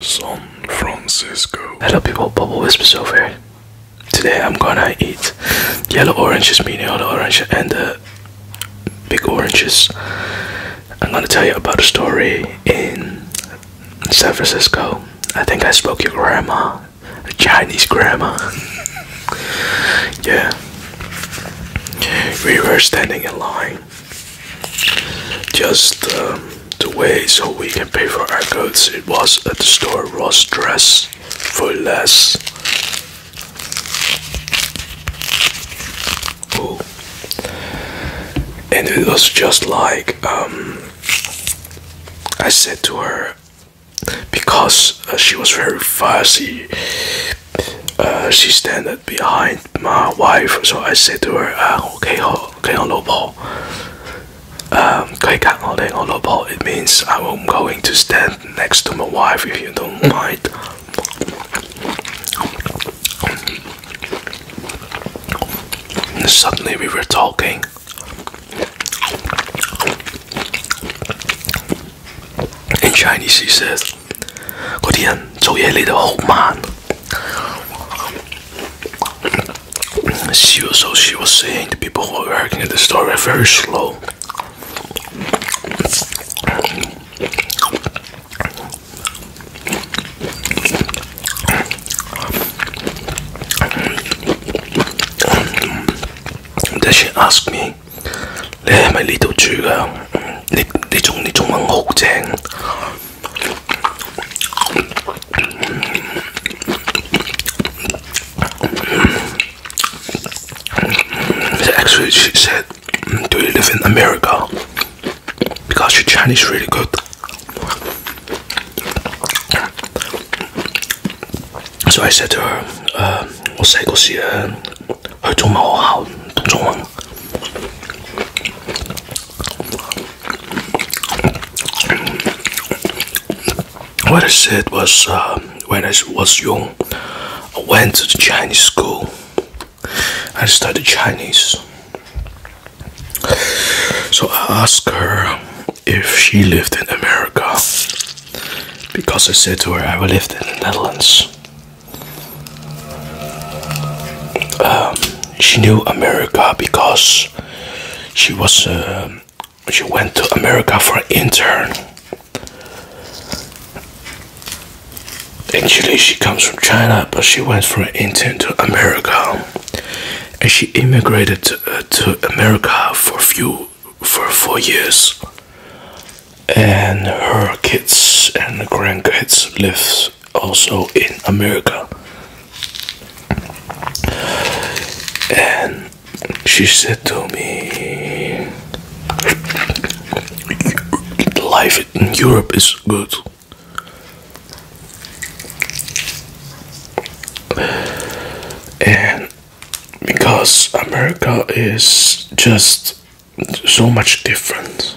San Francisco. Hello people, Bubble Whispers over here. Today I'm gonna eat yellow oranges, meaning yellow oranges, and uh, big oranges. I'm gonna tell you about a story in San Francisco. I think I spoke your grandma, a Chinese grandma. yeah. We were standing in line just um, the way so we can pay for our goods. It was at the store Ross Dress for less. Ooh. And it was just like um, I said to her because uh, she was very fussy. Uh, she standed behind my wife, so I said to her, uh, ah, 我幾我幾我老婆。Um, it means I'm going to stand next to my wife if you don't mind. suddenly we were talking. In Chinese, he says, 嗰啲人做嘢嚟得好慢。she was so she was saying the people who are working at the store were very slow. Then she asked me, "Are 你係咪呢度住㗎？你你仲你中文好正。Actually, she said, mm, Do you live in America? Because your Chinese really good. So I said to her, uh, 我細個時誒去中文學校讀中文。what I said was uh, when I was young, I went to the Chinese school. I studied Chinese. So I asked her if she lived in America because I said to her I lived in the Netherlands. Um, she knew America because she was um, she went to America for an intern. Actually, she comes from China, but she went for an intern to America, and she immigrated to uh, America for few for four years. And her kids and grandkids live also in America. And she said to me, Life in Europe is good. And because America is just so much different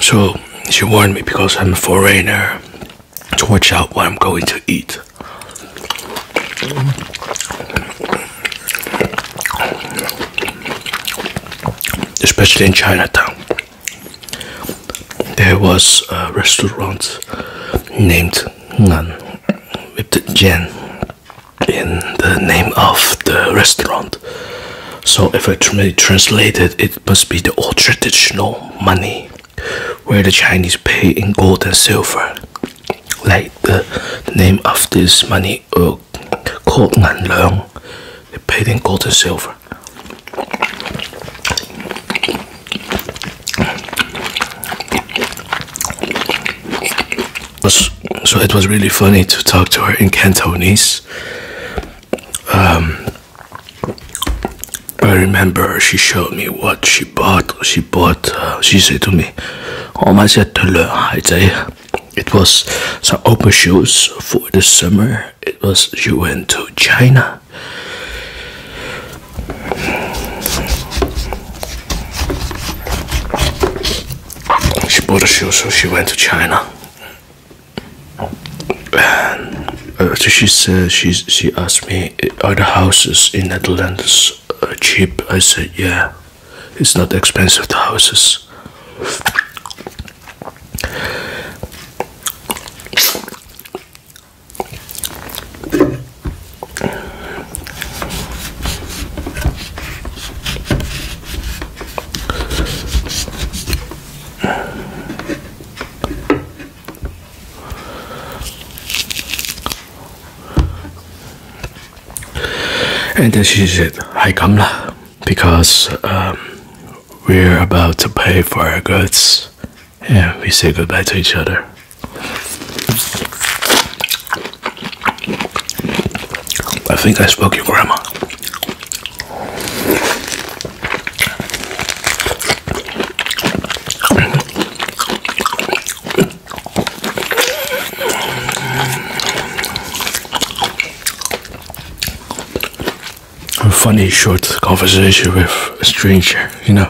So she warned me because I'm a foreigner to watch out what I'm going to eat. Especially in Chinatown, there was a restaurant named naan with the jan in the name of the restaurant. So if I translate it, it must be the old traditional money where the Chinese pay in gold and silver. Like the, name of this money uh, called Nan they pay in gold and silver. So it was really funny to talk to her in Cantonese. Um, I remember she showed me what she bought. She bought. Uh, she said to me, "Oh my It was some open shoes for the summer. It was she went to China she bought a shoe, so she went to China. And uh, so she uh, she asked me, Are the houses in Netherlands uh, cheap? I said, Yeah, it's not expensive, the houses. And then she said, "Hi, Kamla, because um, we're about to pay for our goods." And we say goodbye to each other. I think I spoke your grandma. A funny short conversation with a stranger, you know.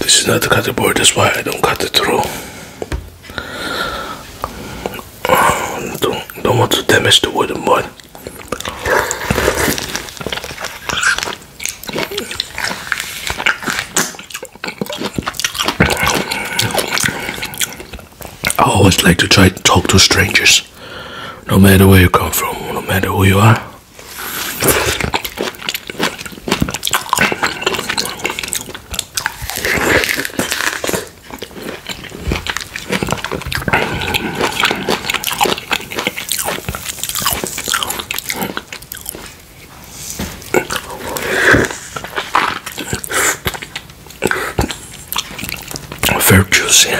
This is not the cutting board, that's why I don't cut it through. don't, don't want to damage the wooden board. I always like to try to talk to strangers, no matter where you come from, no matter who you are. Very juicy.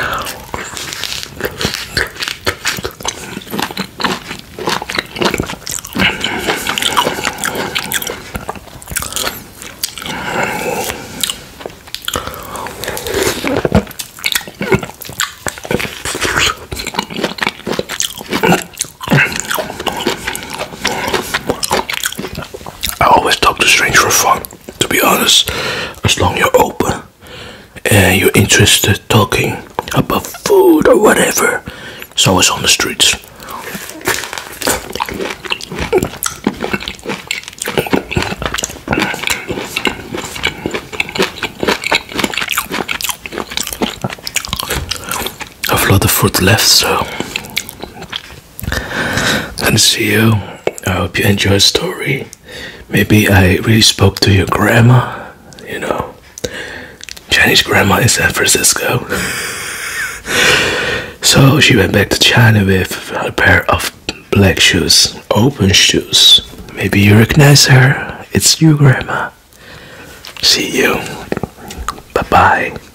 I always talk to strangers for fun, to be honest. As long you're open and you're interested talking about food or whatever, it's always on the streets. I have a lot of food left, so Good to see you. I hope you enjoy the story. Maybe I really spoke to your grandma. You know, Chinese grandma in San Francisco. so she went back to China with a pair of black shoes, open shoes. Maybe you recognize her. It's you, grandma. See you. Bye bye.